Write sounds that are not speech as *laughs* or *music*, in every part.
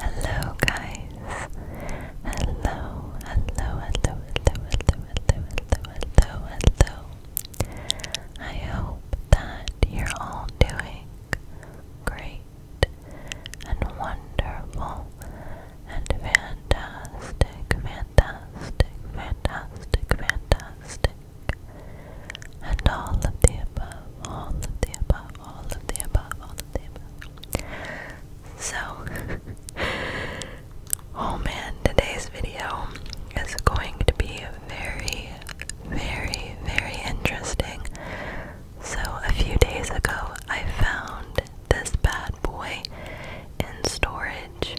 Hello, guys. Hello, hello, hello, hello, hello, hello, hello, hello, I hope that you're all doing great and wonderful and fantastic, fantastic, fantastic, fantastic and all of the above, all of the above, all of the above, all of the above. So, *laughs* oh man, today's video is going to be very, very, very interesting. So, a few days ago, I found this bad boy in storage.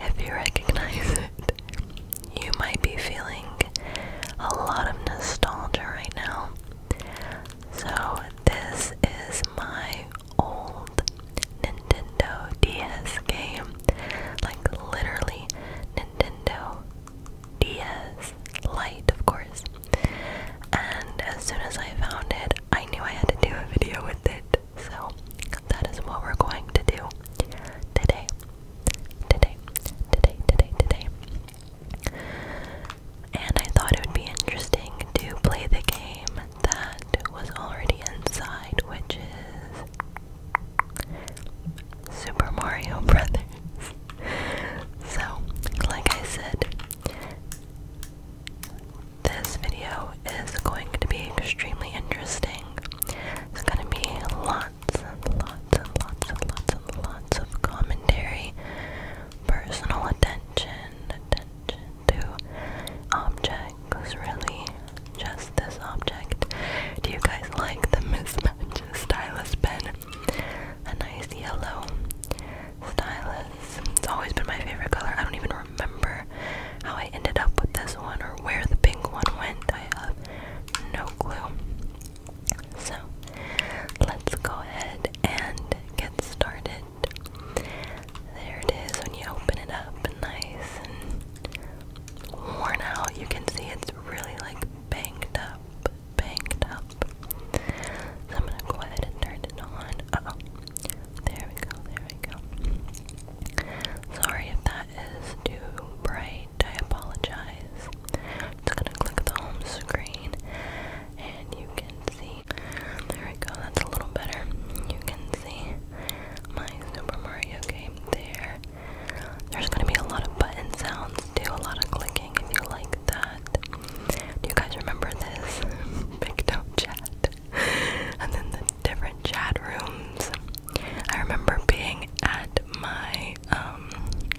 If you recognize it, you might be feeling a lot of nostalgia right now. So, this is my old Nintendo DS game. Like, literally, Nintendo DS Lite, of course. And as soon as I found it, I knew I had to do a video with it. So, that is what we're going to do today today, today, today, today. And I thought it would be interesting to play the game that was already inside, which is Super Mario *laughs* Brothers. so, like I said, this video is going to be extremely interesting. It's going to be lots lots and lots and lots and lots of commentary, personal attention, attention to objects, really, just this object. Do you guys like the mismatch stylus pen? A nice yellow stylus. It's always been my favorite color. I don't even remember how I ended up with this one or where the pink one went. I have no clue. So let's go ahead and get started. There it is when you open it up, nice and worn out. You can see it's really like banged up, banged up. So I'm gonna go ahead and turn it on. oh. There we go, there we go. Sorry if that that is too bright, I apologize. just gonna click the home screen and you can see. There we go, that's a little better. You can see my Super Mario game there. There's gonna be a lot of button sounds too, a lot of clicking if you like that. Do you guys remember this? Big *laughs* do Chat. *laughs* and then the different chat rooms. I remember being at my I um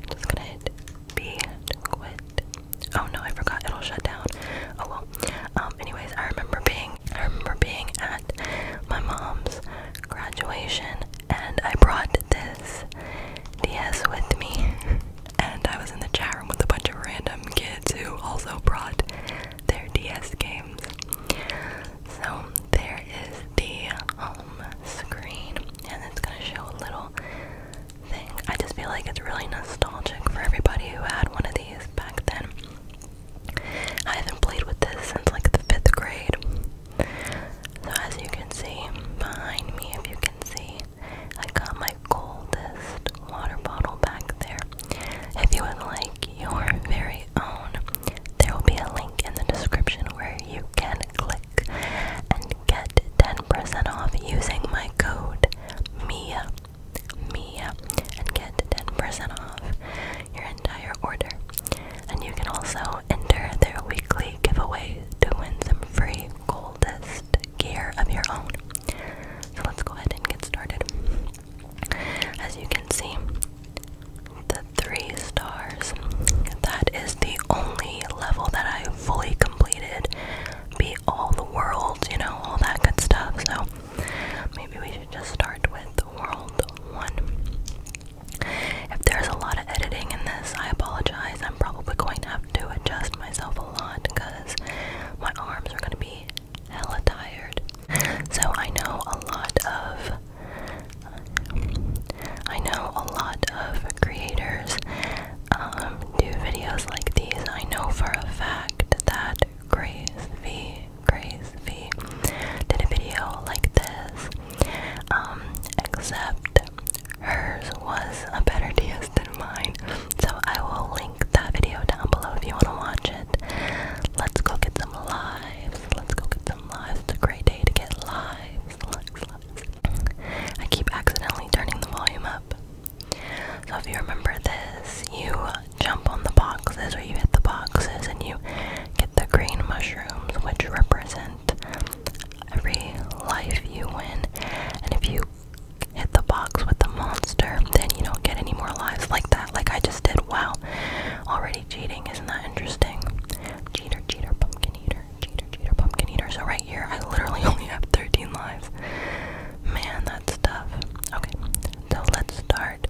just gonna hit quit. Oh no, I forgot it'll shut down. Oh well. Um anyways, I remember being I remember being at my mom's graduation and I brought this DS with me *laughs* and I was in the chat room with a bunch of random kids who also brought their DS games. So there is the home screen, and it's gonna show a little thing. I just feel like it's really nostalgic for everybody who had one of these back then. I haven't played with this since like the fifth grade. So as you can see behind me, if you can see, I got my coldest water bottle back there. If you would like your very own, there will be a link in the description where you can click and get 10% off using my code MIA MIA and get 10% off your entire order. And you can also enter their weekly giveaway to win some free coldest gear of your own. So let's go ahead and get started. As you can see, the three stars. That is the only level that I fully completed. Be all the worlds, you know, all that good stuff. So maybe we should just start with world one. If there's a lot of editing in this, I apologize. I'm probably going to have to adjust myself a lot because my arms are going to be hella tired. So I know a lot of I know a lot of creators um, do videos like these. I know for a fact that Grace V, Grace V, did a video like this, um, except hers was a better deal than mine. So I will link that video down below if you want to watch it. Let's go get some lives. Let's go get it's a great day to get lives. I keep accidentally turning the volume up. So if you remember this, you jump on the boxes or you hit the boxes and you get the green mushrooms which represent every life you win. And if you hit the box with the monster, then you don't get any more lives like that, like I just did. Wow. Already cheating, isn't that interesting? Cheater, cheater, pumpkin pumpkin eater, cheater, pumpkin eater. So right here, I literally *laughs* only have 13 lives. Man, that's tough. Okay, so let's start.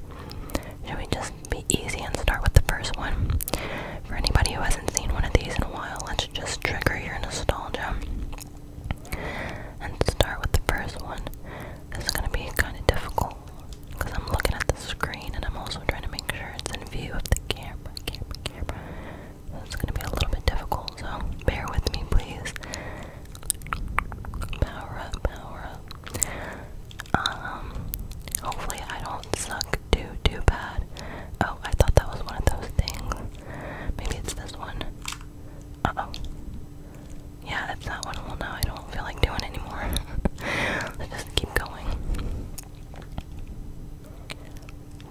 Should we just be easy and start with the first one? For anybody who hasn't seen one of these in a while, let's just trigger your nostalgia and start with the first one. This is gonna be kind of difficult. Because I'm looking at the screen and I'm also trying to make sure it's in view of the camera, camera, camera. So it's going to be a little bit difficult, so bear with me, please. Power up, power up. Um, hopefully I don't suck too, too bad. Oh, I thought that was one of those things. Maybe it's this one. Uh-oh. Yeah, it's that one. Well, now I don't feel like doing it anymore. *laughs* Let's just keep going.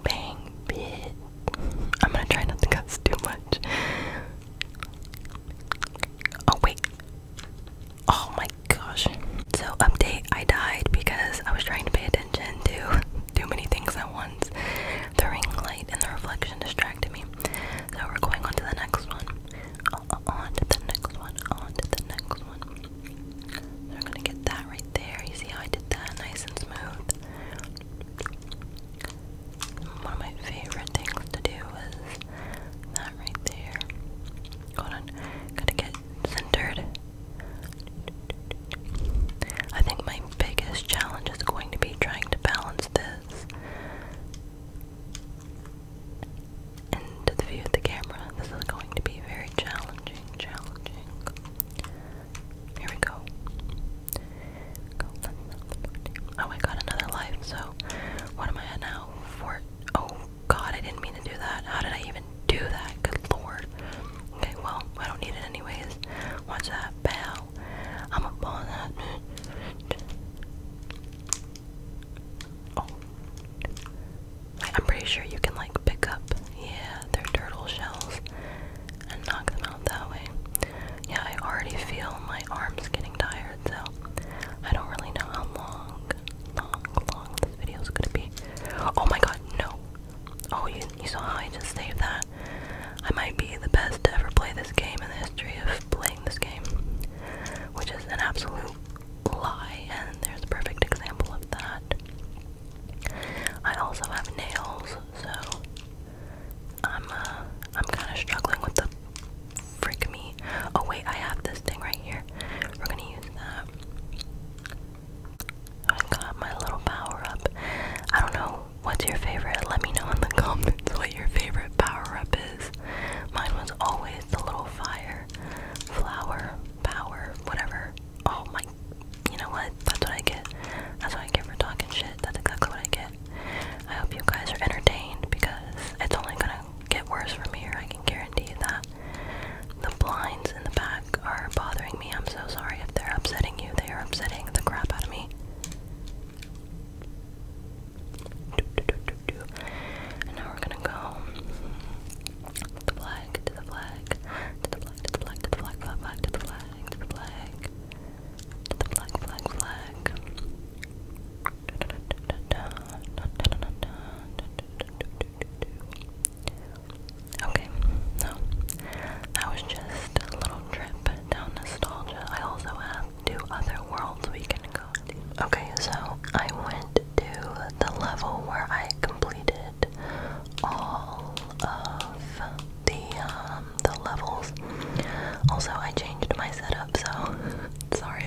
Bang bit. I'm gonna try not to cuss too much. Oh wait. Oh my gosh. So update I died because I was trying to pay attention to too many things at once. The ring light and the reflection distracted me. So we're going on to the next one. on to the next one. On to the next one we're gonna get that right there. You see how I did that? Nice and smooth. One of my favorite things to do is that right there. Hold on, gotta get centered. I think my biggest challenge is going to be trying to balance this into the view of the camera. This is going to be very challenging, challenging. Here we go. oh, I got another life, so what am I at now? Four oh god, I didn't mean to do that. How did I even do that? Good lord. Okay, well, I don't need it anyways. Watch that, bow. I'm a ball that Oh. I'm pretty sure you can like pick up, yeah, their turtle shells and knock them out that way. Yeah, I already feel my arms getting tired, so I don't really know how long, long, long this video is gonna be. Oh my god, no! Oh, you, you saw how I just saved that? I might be the best to ever play this game in the history of playing this game, which is an absolute lie, and there's a perfect example of that. I also have nails, so I'm uh, I'm kind of struggling with the frick me. Oh wait, I have this thing right here. We're gonna use that. I got my little power up. I don't know what's your favorite. Let me know in the *laughs* comments what your favorite power up is. Mine was always the little fire flower, power, whatever. Oh my, you know what? That's what I get. That's what I get for talking shit. That's exactly what I get. I hope you guys are entertained because it's only gonna get worse from here. I can guarantee that. The blinds in the back are bothering me. I'm so sorry if they're upsetting you. They are upsetting the crap out of me. And now we're gonna go the flag, to the flag, to the flag, to the flag, to the flag, to the flag, to the flag, to the flag, flag, flag. Okay, so that was just a little trip down nostalgia. I also have two other worlds we can go Okay, so I went to the level where I completed all of the um, the levels. Also, I changed my setup, so *laughs* sorry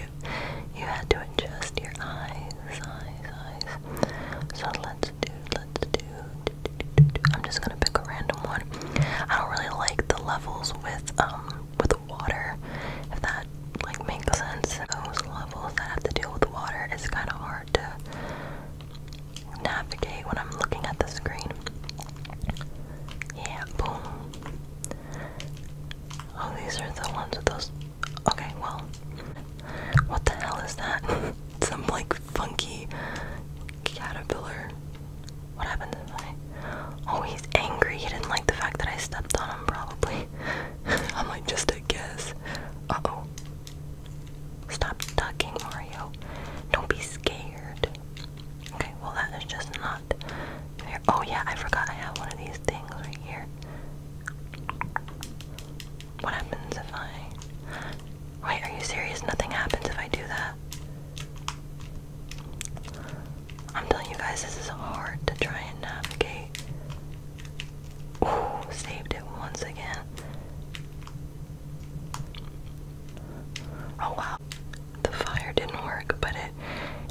you had to adjust your eyes, eyes, eyes. So let's do, let's do. do, do, do, do. I'm just gonna pick a random one. I don't really like the levels with um with water. If that like makes sense. Those levels that have to deal with water is kind of hard to navigate when I'm looking at the screen. Yeah, boom. Oh, these are the ones with those. Okay, well, what the hell is that? *laughs* Some like funky caterpillar. What happened to my? Oh, he's angry. He didn't like the fact that I stepped on him, probably. *laughs* I'm like, just a guess. Uh oh. Stop ducking, Mario. Don't be scared. Okay, well, that is just not fair. Oh, yeah, I forgot I have one of these things right here. What happens if I. Wait, are you serious? Nothing happens if I do that. I'm telling you guys, this is hard to try and navigate. Ooh, saved it once again. Oh wow. The fire didn't work, but it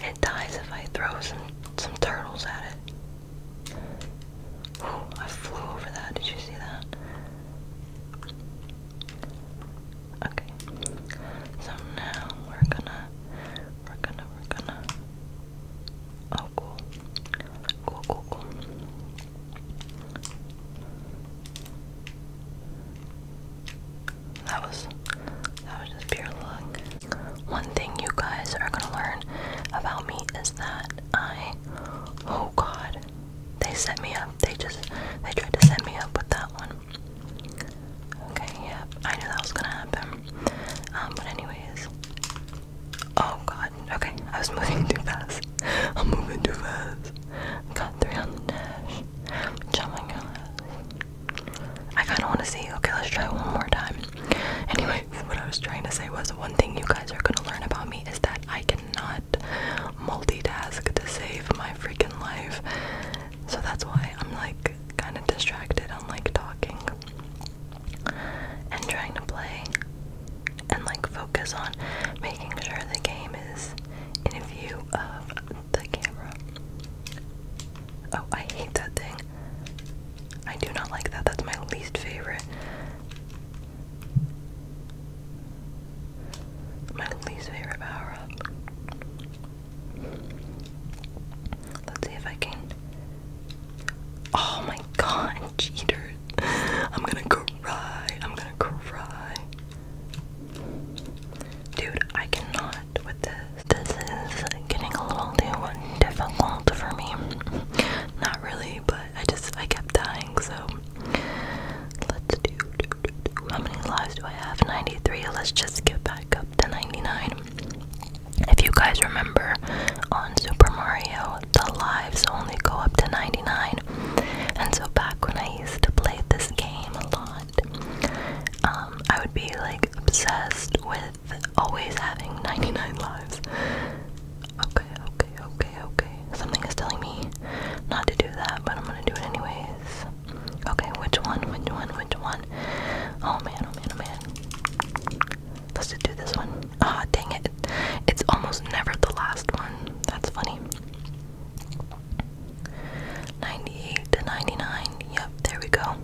it dies if I throw some some turtles at it. Ooh, I flew over that. Did you see that? Okay. So now we're gonna we're gonna we're gonna Oh, cool. Cool, cool, cool. That was that was just pure luck. One thing you guys are gonna learn about me is that I oh god. They set me up. They just they tried to set me up with that one. Okay, yep. Yeah, I knew that was gonna happen. Um, but anyways. Oh god, okay, I was *laughs* moving too fast. I'm moving too fast. Got three on the dash. Jumping I kinda wanna see. Okay, let's try one more time. Anyway, what I was trying to say was one thing you guys are gonna learn about me is that I cannot multitask to save my freaking life. So that's why I'm like kinda distracted I'm like talking and trying to play and like focus on making sure the game is in view of the camera. Oh, I hate that thing. I do not like that. That's my least favorite. My least favorite power up. Let's see if I can Oh my god, cheater. I'm gonna cry. I'm gonna cry. Dude, I cannot with this. This is getting a little too difficult for me. Not really, but I just I kept dying, so let's do, How many lives do I have? 93. Let's just skip back up to 99. If you guys remember on Super Mario, the lives only go up to 99. And so back when I used to play this game a lot, um, I would be like obsessed with always having 99 lives. Okay, okay, okay, okay. Something is telling me not to do that, but I'm gonna do it anyways. Okay, which one? Which one? Which one? Oh man, oh man, oh man. Let's do this one. Ah, dang it. It's almost never the last one. That's funny. 98 to 99. Yep, there we go.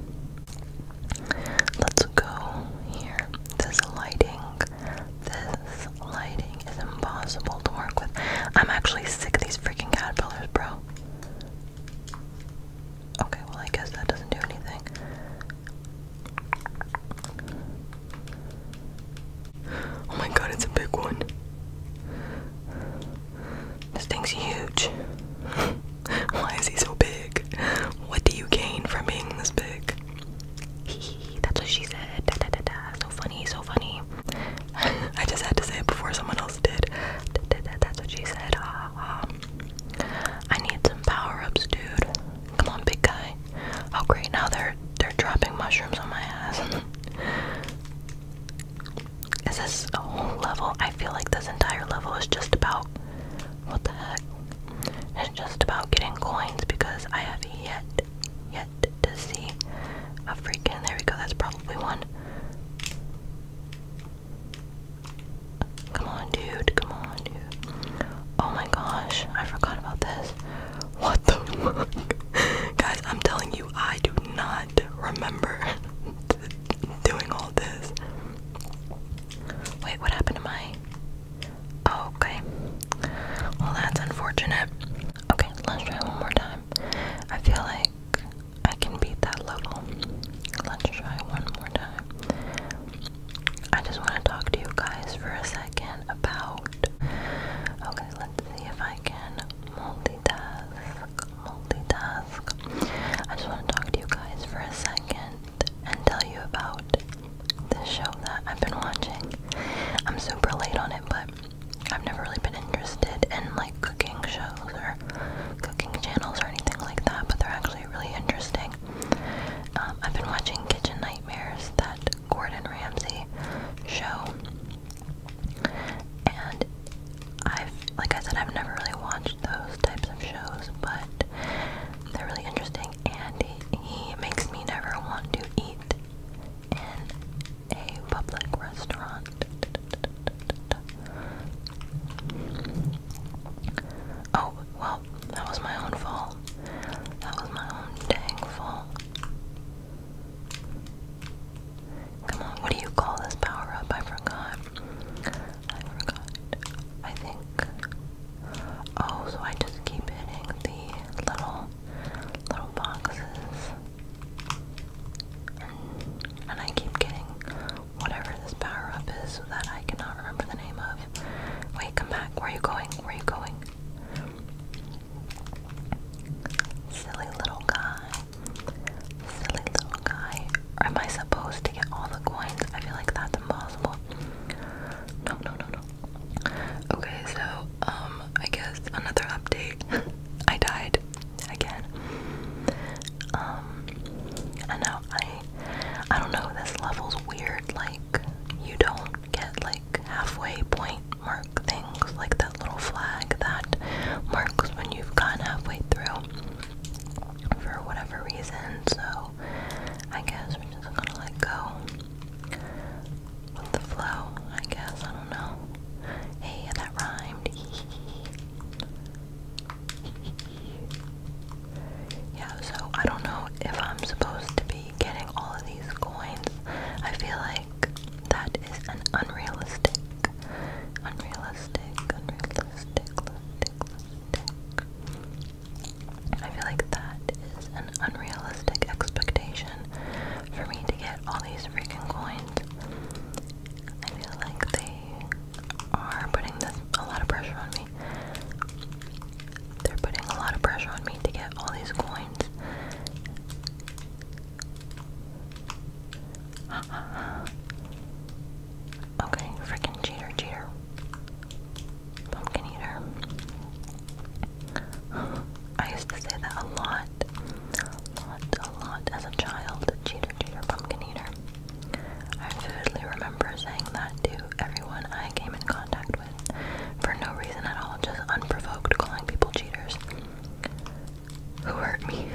Let's go here. This lighting. This lighting is impossible to work with. I'm actually sick of these freaking caterpillars, bro. Okay, well, I guess that doesn't do anything. Oh my god, it's a big one. This thing's huge. *laughs* Why is he so big? What do you gain from being this big? *laughs* That's what she said. So funny, so funny. *laughs* I just had to say it before someone else did. that's what she said. Ha, I need some power-ups, dude. Come on, big guy. Oh great, now they're they're dropping mushrooms on my ass. *laughs* is this a whole level? I feel like this entire level is just about what the heck? It's just about getting coins because I have yet yet to see a freaking there we go, that's probably one. Come on, dude. Come on, dude. Oh my gosh, I forgot about this. What the fuck? *laughs* Guys, I'm telling you, I do not remember *laughs* doing all this. Wait, what happened to my. Oh, okay. Well, that's unfortunate. Okay, let's try one more time. I feel like I can beat that level. Let's try one more time. I just want to talk to you guys for a second about. Okay, let's see if I can multitask. Multitask. I just want to talk to you guys for a second and tell you about this show that I've been watching. I'm super late on it, but I've never really been interested in like cooking shows or cooking channels or anything like that, but they're actually really interesting. Um, I've been watching Kitchen Nightmares, that Gordon Ramsay show, and I've, like I said, I've never really watched those types of shows, but they're really interesting, and he makes me never want to eat in a public restaurant. Oh, well, that was my own fault. That was my own dang fault. Come on, what do you call this power up? I forgot. I forgot. I think. Oh, so I just keep hitting the little, little boxes. And, I keep getting whatever this power up is that I cannot remember the name of. Wait, come back. Where are you going? Where are you going? Silly little guy. Silly little guy. Am I supposed to get all the coins? I feel like that's impossible. No, no, no, no. Okay, so, um, I guess another update. *laughs* I died again. Um, I know I, I don't know. This level's weird. Like you don't get like halfway point mark things, like that little flag that marks when you've gone halfway through for whatever reason. So I guess we're just gonna let go with the flow. I guess I don't know. Hey, that rhymed. *laughs* Yeah, so I don't know if I'm supposed to be getting all of these coins. I feel like that is an unrealistic, unrealistic, unrealistic, I feel like that is an unrealistic expectation for me to get all these freaking coins. I feel like they are putting a lot of pressure on me. They're putting a lot of pressure on me to get all these coins. *gasps* okay, freaking cheater, cheater. Pumpkin eater. *gasps* I used to say that a lot. A lot, a lot as a child. Cheater, cheater, pumpkin eater. I vividly remember saying that to everyone I came in contact with, for no reason at all, just unprovoked, calling people cheaters. Who hurt me?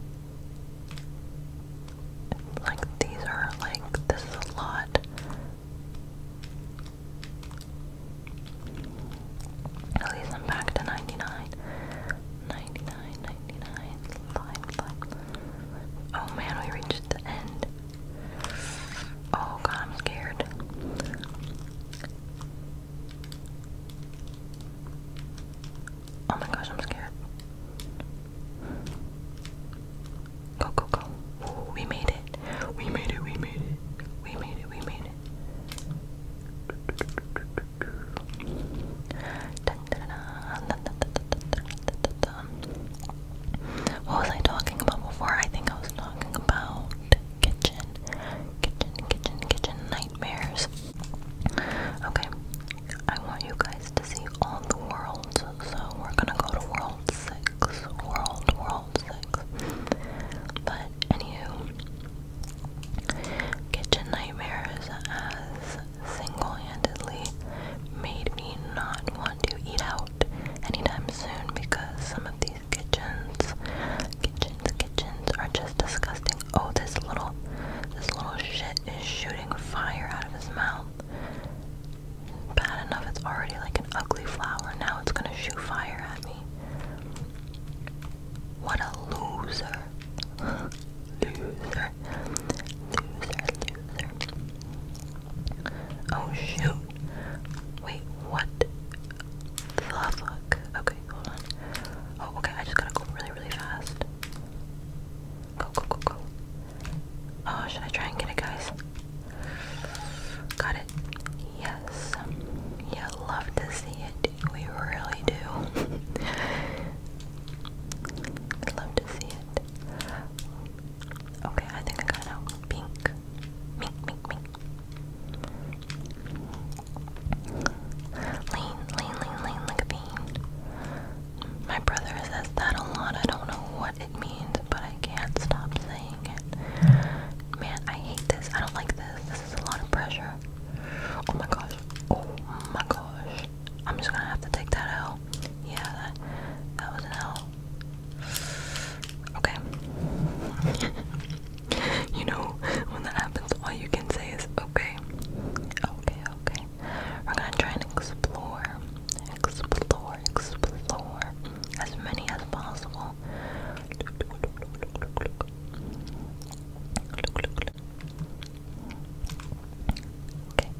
*laughs* like, these are, like, this is a lot. At least I'm back to 99 ninety-nine, ninety-nine, five, five. Oh man, we reached the end. Oh god, I'm scared. Oh my gosh, I'm scared. Go, go, go. we made it. We made it, we made it. We made it, we made it. What was I talking about before? I think I was talking about kitchen, kitchen, kitchen, kitchen nightmares. Okay, I want you guys to see all the worlds, so we're gonna go to world six, world, world six. But anywho, Kitchen nightmares as single-handedly made me not want to eat out anytime soon because some of these kitchens, kitchens, kitchens are just disgusting. Oh, this little, this little shit is shooting fire out of his mouth. Bad enough, it's already like an ugly flower. Now it's gonna shoot fire at me. What a loser loser, loser. Oh shoot! Wait, what the fuck? Okay, hold on. Oh, okay. I just gotta go really, really fast. Go, go, go, go. Oh, should I try and get it, guys? Got it. Yes. Yeah, love to see it. We really do. *laughs* I'd love to see it. Okay, I think I got out. Pink. Mink, mink, mink. Lean, lean, lean, lean like My brother says that a lot. I don't know what it means, but I can't stop saying it. Man, I hate this. I don't like this. This is a lot of pressure. Oh my god. Oh my gosh. I'm just gonna have to take that out. Yeah, that, was an hell. Okay. *laughs* you know, when that happens, all you can say is okay. Okay, okay. We're gonna try and explore, explore, explore as many as possible. Okay.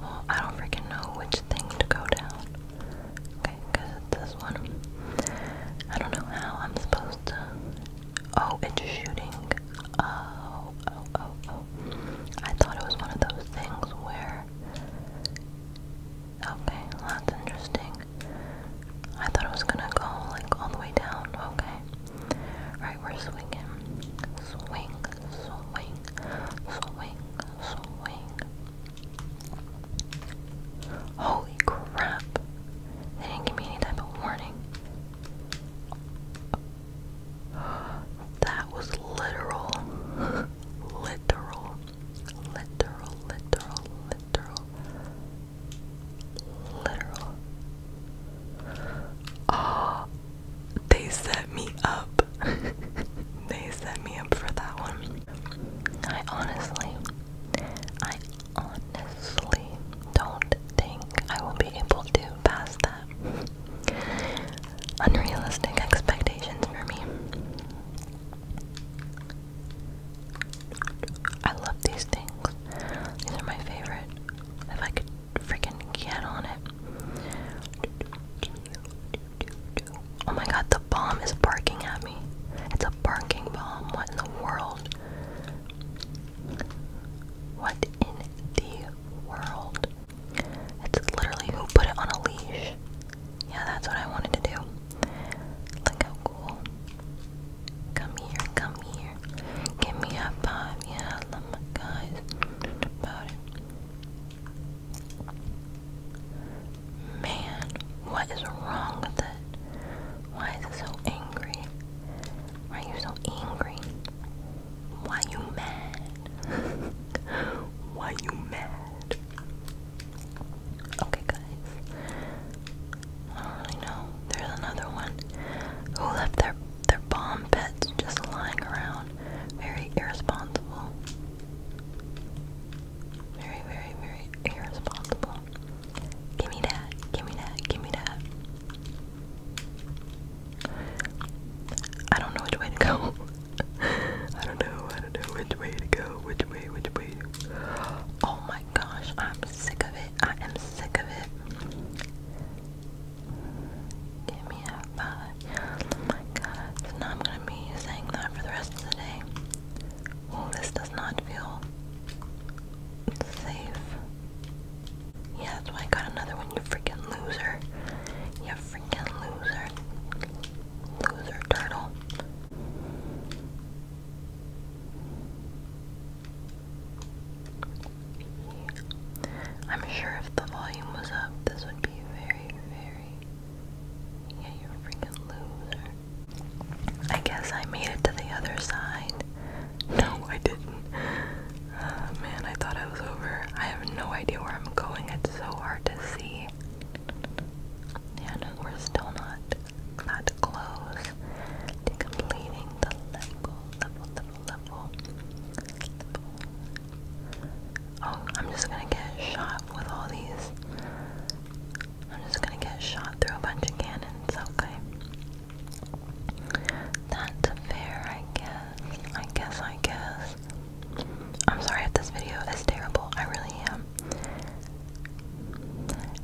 Well, I don't freaking know which thing to go down. Okay, because this one. I don't know how I'm supposed to. Oh, it's shooting. Oh, oh, oh, oh. I thought it was one of those things where. Okay, that's interesting. I thought it was gonna go like all the way down. Okay. Right, we're swinging. Swing, swing, swing, swing. Holy crap. They didn't give me any type of warning. That was literal. *laughs* literal. Literal, literal, literal literal. Oh, they set me up. *laughs* they set me up for that one. I honestly, I honestly don't think I will be able to pass that. Unrealistic expectations for me. I love these things. These are my favorite. If I could freaking get on it. Oh my god, the bomb is barking at me. It's a barking bomb. What in the world? What in the world? It's literally who put it on a leash. Yeah, that's what I wanted to do. Look how cool. Come here, come here. Give me a five. Yeah, I my guys. About it. Man, what is wrong with it? Why is it so angry? Why are you so angry? Why you mad? *laughs* Why you mad? Okay, guys. I don't really know. There's another one who left their their bomb pets just lying around. Very irresponsible. Very, very, very irresponsible. Give me that. Give me that. Give me that. I don't know which way to go. *laughs* I don't know. I don't know which way to go. Which way? Which way? Oh my gosh, I'm sick of it. I am sick of it. Give me a five. Oh my god. now I'm gonna be saying that for the rest of the day. Oh, this does not feel safe. Yeah, that's why I got another one, you freaking loser. You freaking loser. Loser turtle. I'm sure if the volume was up, this would be very, very. Yeah, you're a freaking loser. I guess I made it to the other side. No, I didn't. Oh, man, I thought I was over. I have no idea where I'm going. It's so hard to see. Yeah, we're still not not close to completing the level, level, level, level. Oh, I'm just gonna get shot with all these. I'm just gonna get shot through a bunch of cannons, okay. That's fair, I guess. I guess, I guess. I'm sorry if this video is terrible. I really am.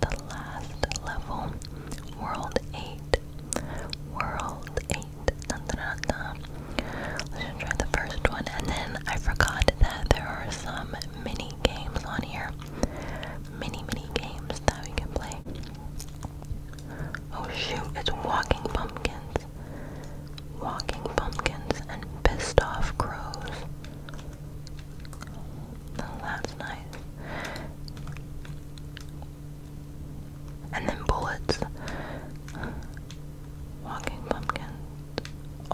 the last level. World 8. World 8. Let's try the first one. And then I forgot that there are some mini games on here. Mini, mini games that we can play. Oh shoot, it's walking pumpkins. Walking pumpkins and pissed off crows. Oh, that's nice. And then bullets. Walking pumpkins.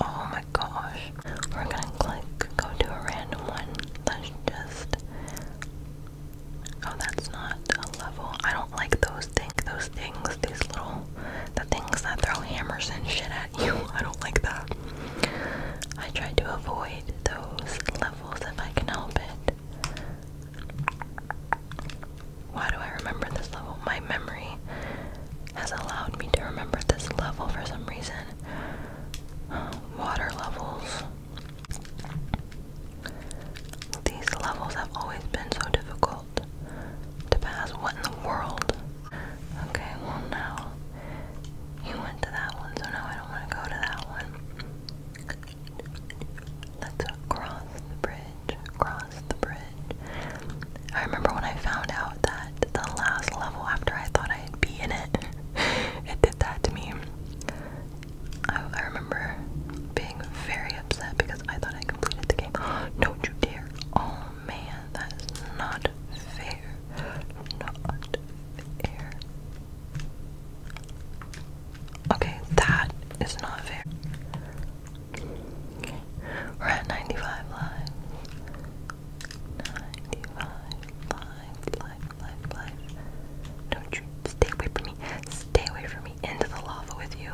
Oh my gosh. We're gonna click, go to a random one. Let's just. Oh, that's not a level. I don't like those things. Those things, these little. The things that throw hammers and shit at you. *laughs* I don't like that. I try to avoid those levels if I can help it. Why do I remember this level? My memory has allowed me to remember this level for some reason. *gasps* water levels. These levels have always been so difficult to pass. What in the world? Okay, well now you went to that one, so now I don't want to go to that one. Let's cross the bridge. Cross the bridge. I remember when I found out that the last level after I thought I'd be in it, *laughs* it did that to me. I, remember being very upset because I thought I completed the game. *gasps* Don't you dare. Oh man, that is not fair. Not fair. Okay, that is not fair. We're at 95 lives. 95 lives, life, life, life. Don't you stay away from me. Stay away from me. Into the lava with you.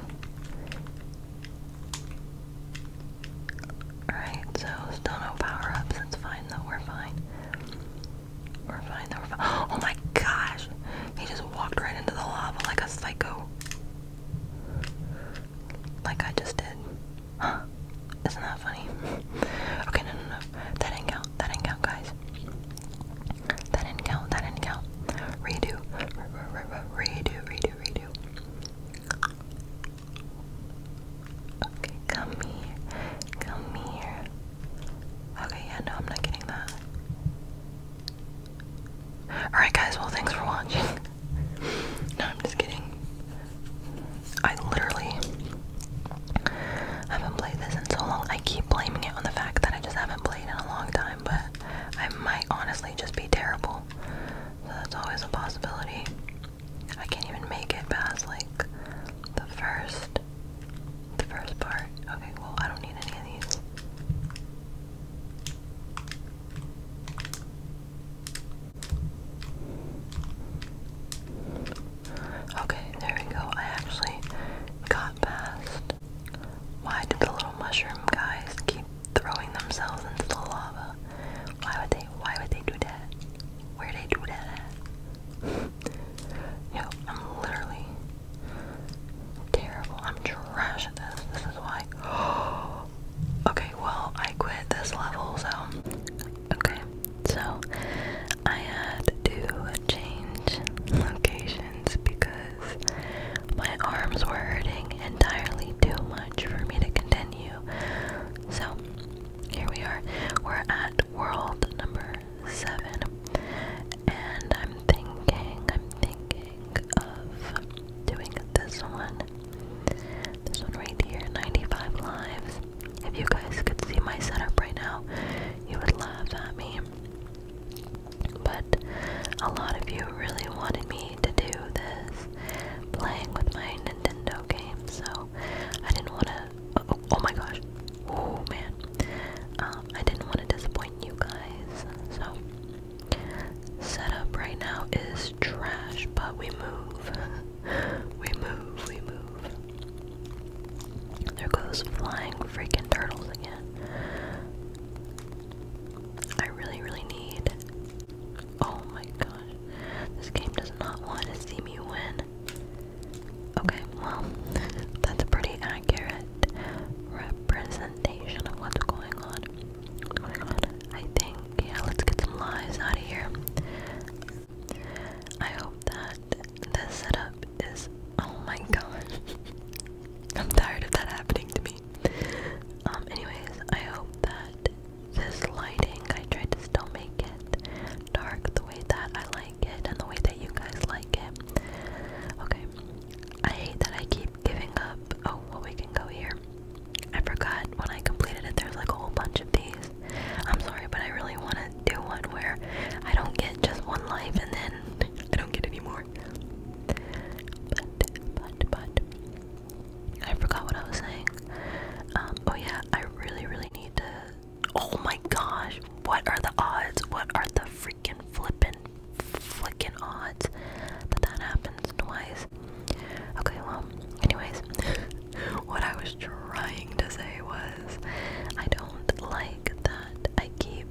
Alright, so still no power ups. It's fine though, we're fine. Refine the refine. Oh my gosh! He just walked right into the lava like a psycho. Like I just did. Huh? Isn't that funny? Okay, no, no, no. That didn't count. That didn't count, guys. That didn't count. That didn't count. Redo. Redo, redo, redo. Okay, come here. Come here. Okay, yeah, no, I'm not getting that. Alright, guys, well, thanks for watching. *laughs* no, I'm just kidding. I literally haven't played this in so long. I keep blaming it on the fact that I just haven't played in a long time, but I might honestly just be terrible. So that's always a possibility. I can't even make it past like the first the first part. Okay, well, I don't need any of these. Okay, there we go. I actually got past. Why do the little mushroom guys keep throwing themselves into the lava? Why would they why would they do that? Where they do that Yo, I'm literally terrible. I'm trash at this. This is why. *gasps* okay, well, I quit this level, so. Okay, so I had to change locations because my arms were hurting entirely too much for me to continue. So here we are. We're at world number seven. And I'm thinking, I'm thinking of doing this one. This one right here, 95 lives. If you guys could see my setup right now, you would laugh at me. But a lot of you really wanted me to do this playing with my Nintendo game, so I didn't want to. Oh, oh my gosh, Oh man, um, I didn't want to disappoint you guys, so setup right now is trash, but we move, *laughs* we move, we move. There goes flying freaking turtles again. I really, really need. Oh my gosh, this game does not want to see me win. Okay, well, *laughs* that's a pretty accurate representation of what's going on. I think, yeah, let's get some lies out of here. I hope that this setup is. Oh my god. *laughs* I'm tired of that happening to me. Um, anyways, I hope that this lighting, I tried to still make it dark the way that I like and the way that you guys like it. Okay. I hate that I keep giving up. Oh, well, we can go here. I forgot when I completed it, there's like a whole bunch of these. I'm sorry, but I really want to do one where I don't get just one life and then I don't get anymore. more. But, but, but. I forgot what I was saying. Um, oh, yeah, I really, really need to Oh my gosh. What are the odds? What are the freaking flippin' flickin' odds that that happens twice? Okay, well, anyways, *laughs* what I was trying to say was I don't like that I keep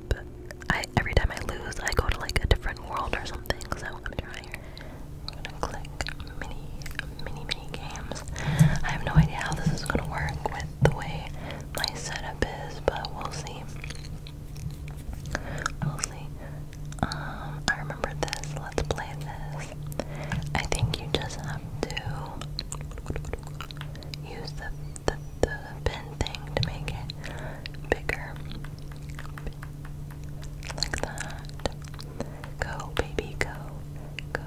I every time I lose I go to like a different world or something, so I'm to try here. I'm gonna click mini mini mini games. I have no idea how this is gonna work with the way my setup is, but we'll see. We'll see. Um, I remember this. Let's play this. I think you just have to use the the, the pin thing to make it bigger. Like that. Go, baby, go. Go.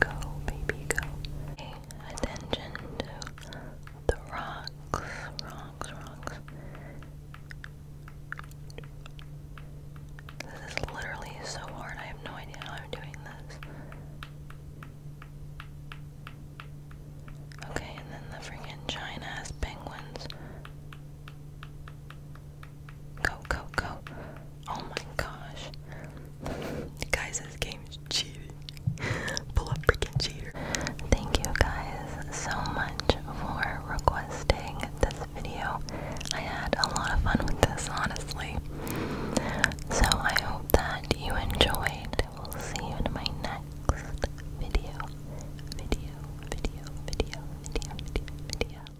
Go, baby, go. Pay attention to the rocks, rocks, rocks. This is literally so hard. I have no idea how I'm doing this. Okay, and then the freaking giant ass penguins. Go, go, go. Oh my gosh. Guys, this game is cheating. *laughs* Pull up freaking cheater. Thank you guys so much for requesting this video. I had a lot of fun with this, honestly. So I hope that you enjoyed. We'll see you in my next Video, video, video, video, video, video, video.